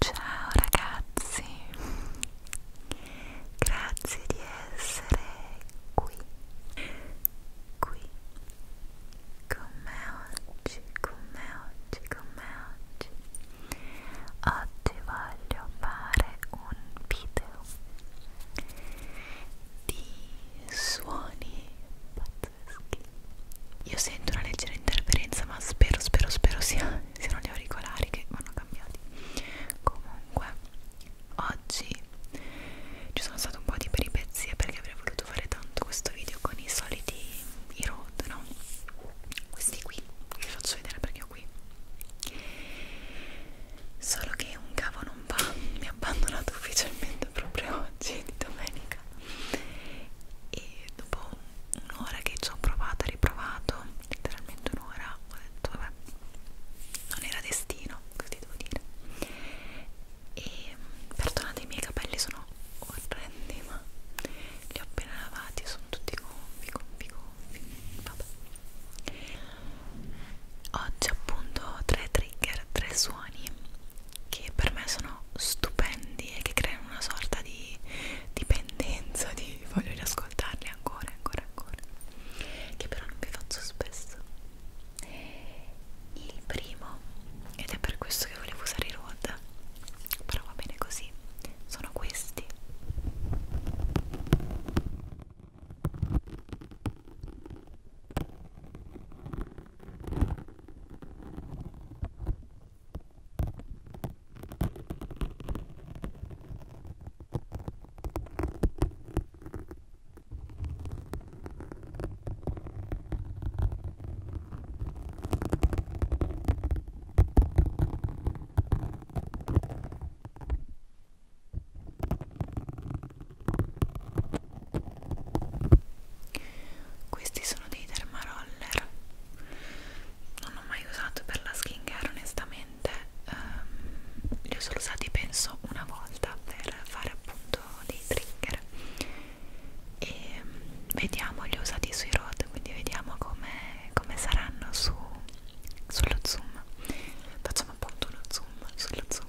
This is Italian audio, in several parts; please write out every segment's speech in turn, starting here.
Ciao ragazzi, grazie di essere qui, qui con me oggi, con me oggi, con me oggi. Oggi voglio fare un video di suoni pazzeschi. Io sento una leggera interferenza, ma spero, spero, spero sia, siano gli auricolari che vanno cambiati. Comunque, oggi ci sono state un po' di peripezie perché avrei voluto fare tanto questo video con i soliti i road, no? Questi qui, vi faccio vedere perché ho qui solo che un cavo non va mi ha abbandonato ufficialmente proprio oggi di domenica e dopo un'ora che ci ho provato e riprovato letteralmente un'ora ho detto vabbè non era destino così devo dire e perdonate i miei capelli sono orrendi ma li ho appena lavati sono tutti gonfi gonfi gonfi vabbè oggi appunto tre trigger tre suoni che per me sono stupendi e che creano una sorta di dipendenza di voglio riascoltarli ancora ancora ancora che però non vi faccio spesso il primo ed è per questo che volevo usare i road però va bene così sono questi questi sono dei dermaroller, non ho mai usato per la skincare onestamente, um, li ho solo usati penso una volta per fare appunto dei trigger e um, vediamo, li ho usati sui road, quindi vediamo come come saranno su, sullo zoom facciamo appunto uno zoom sullo zoom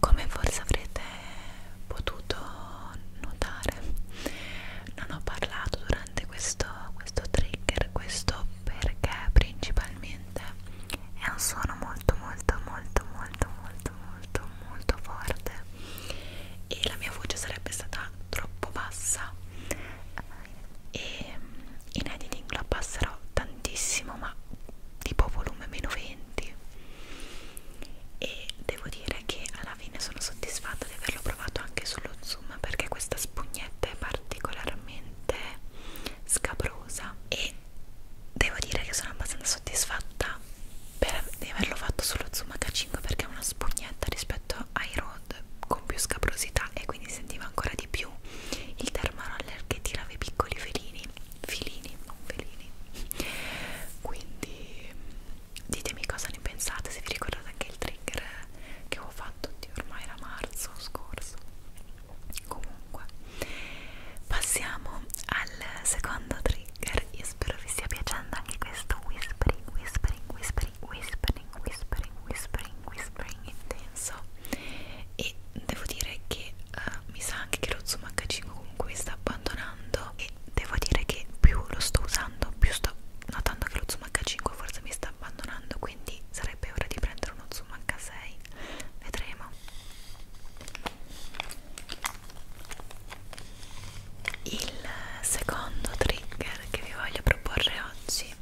Come forse avrete potuto notare, non ho parlato durante questo, questo trigger, questo perché principalmente è un suono molto molto molto molto molto molto molto forte e la mia voce sarebbe stata troppo bassa e ehm, in editing la passerò tantissimo ma tipo volume meno 20 e devo dire che alla fine sono soddisfatta di averlo provato anche sullo zoom perché questa spugnetta è particolarmente scabrosa e devo dire che sono abbastanza soddisfatta per, di averlo fatto sullo zoom h5 perché è una spugnetta rispetto ai rod con più scabrosità e quindi sentiva ancora di più il termaroller che tirava i piccoli felini filini, non filini quindi ditemi cosa ne pensate se vi ricordate anche il trigger che ho fatto di ormai era marzo scorso comunque passiamo al secondo trigger io spero vi stia piacendo anche questo whispering whispering whispering whispering whispering whispering whispering intenso e devo dire che uh, mi sa anche che lo Zoom H5 comunque mi sta abbandonando e devo dire che più lo sto usando più sto notando che lo Zoom H5 forse mi sta abbandonando quindi sarebbe ora di prendere uno Zoom H6 vedremo il secondo trigger che vi voglio proporre oggi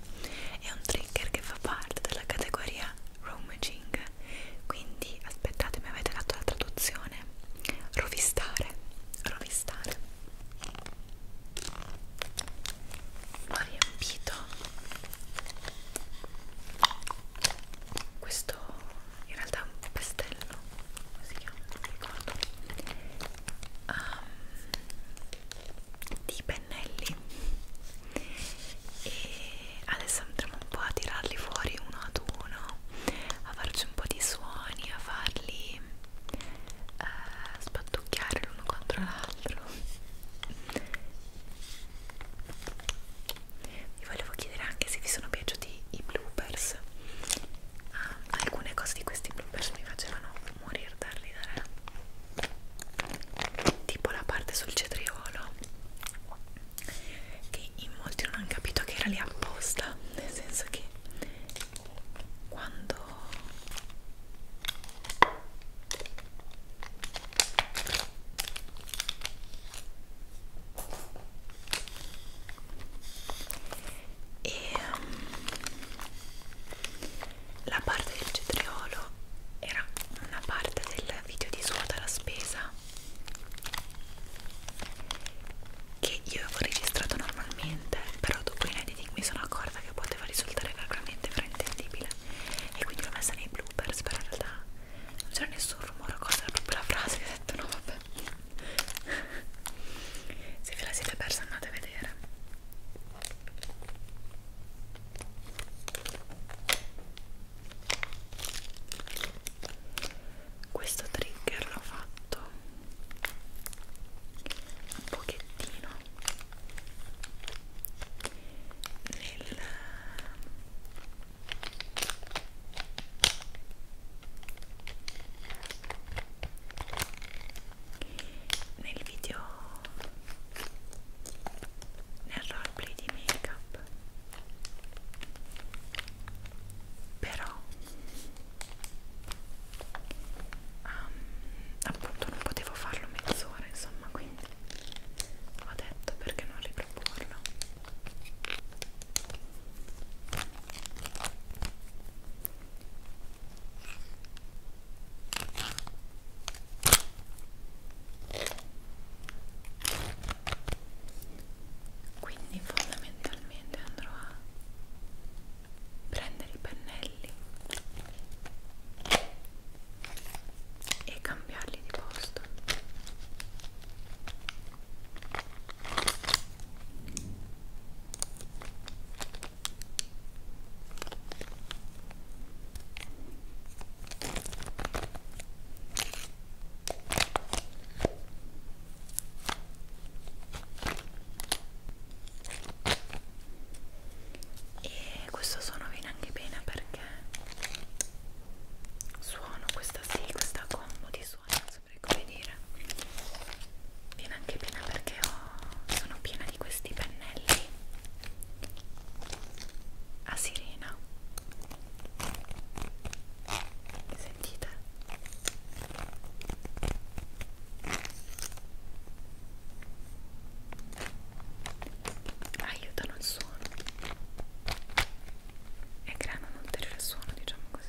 è un trigger che fa parte della categoria Room packaging quindi aspettate mi avete dato la traduzione rovistare rovistare ho riempito questo in realtà è un pestello come si chiama non mi ricordo um, di pennelli e adesso andremo un po' a tirarli fuori uno ad uno a farci un po' di suoni a farli eh, spattucchiare l'uno contro l'altro vi volevo chiedere anche se vi sono piaciuti i bloopers ah, alcune cose di questi bloopers mi facevano morire da ridere tipo la parte sul cetriolo che in molti non hanno capito che era lì apposta nel senso che quando e um, la parte del cetriolo era una parte del video di svuota la spesa che io avevo registrato normalmente però dopo in editing mi sono accorta che poteva risultare veramente fraintendibile e quindi l'ho messa nei bloopers però in realtà non c'era nessun rumore o cosa era proprio la frase che ho detto no vabbè se ve la siete persa andate a vedere questo trigger l'ho fatto un pochettino nel nel video nel roleplay di make up però um, appunto non potevo farlo mezz'ora insomma quindi ho detto perché non riproporlo quindi fondamentalmente andrò a prendere i pennelli e cambiarli di posto e questo suono viene anche bene perché suono questa sì, questa combo di suoni, non saprei come dire viene anche bene perché ho, sono piena di questi pennelli a sirena sentite aiutano il suono e creano un ulteriore suono diciamo così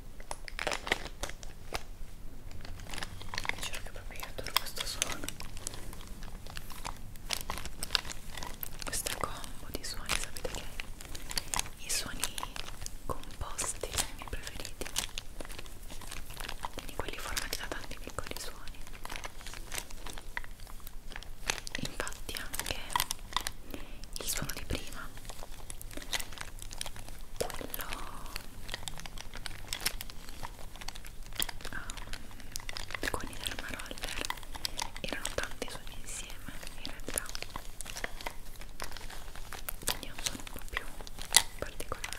giuro che proprio io adoro questo suono questa combo di suoni sapete che i suoni composti sono i miei preferiti quindi quelli formati da tanti piccoli suoni infatti anche il suono di prima quello um, con i dermaroller erano tanti suoni insieme in realtà quindi è un suono un po' più particolare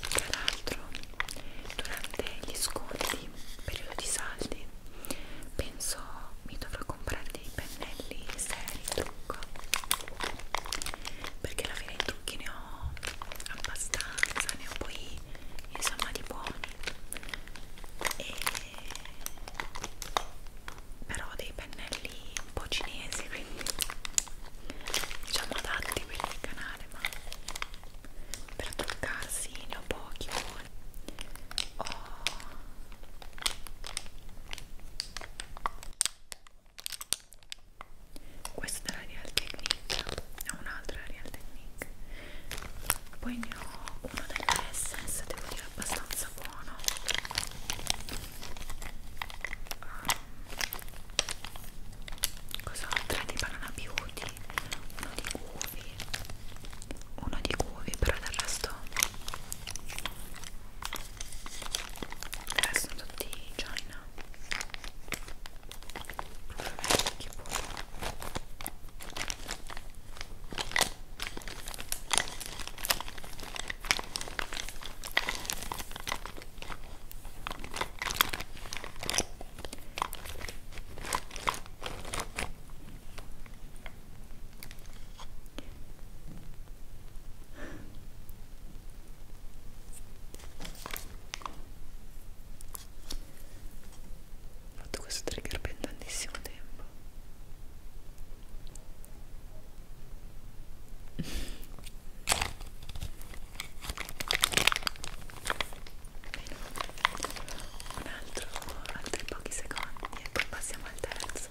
tra l'altro durante gli sconti periodo di saldi penso mi dovrò comprare dei pennelli seri trucco perché alla fine i trucchi ne ho abbastanza ne ho poi insomma di buoni e però dei pennelli un po' cinesi quindi diciamo adatti anche quelli del canale ma per truccarsi ne ho pochi buoni ho oh. questa è la Real Technique ho un'altra Real Technique poi ne ho uno dell'Essence devo dire abbastanza buono cosa ho? tre di banana beauty uno di guvi uno di guvi però del resto del resto sono tutti China che buono ho fatto questo trigger per tantissimo tempo un altro altri pochi secondi e poi passiamo al terzo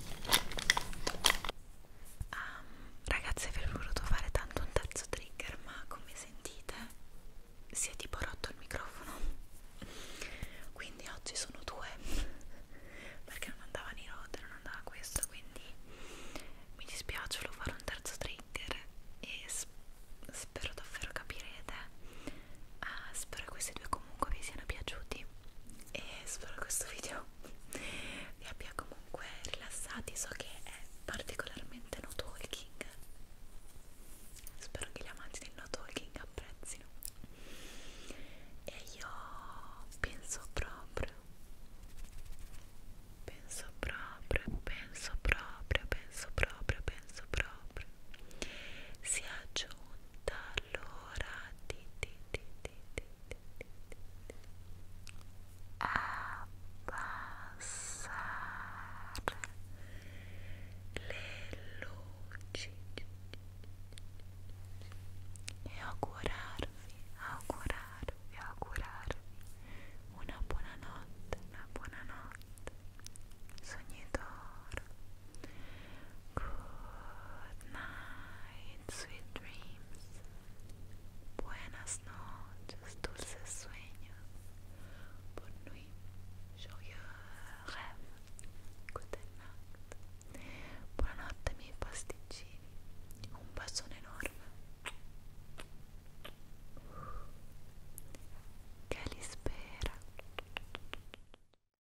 Um, ragazzi vi ho voluto fare tanto un terzo trigger ma come sentite si è tipo rotto il microfono quindi oggi sono due perché non andava di rotta non andava questo quindi mi dispiace volevo fare un terzo trigger e sp spero davvero capirete uh, spero che questi due comunque vi siano piaciuti e spero questo video vi abbia comunque rilassati so che è particolarmente no talking spero che gli amanti del no talking apprezzino e io penso proprio penso proprio penso proprio penso proprio penso proprio sia giù tutta allora ti ti ti ti ti ti ti ti abbassare le luci e augurarvi, augurarvi, augurarvi una buona notte, una buona notte sogni d'oro Good night, sweet dreams. Buenas noches, dulces sueños. Bonne nuit, joyeux rêve. Good night. Buonanotte, miei pasticcini. Un bacione enorme. Che li spera.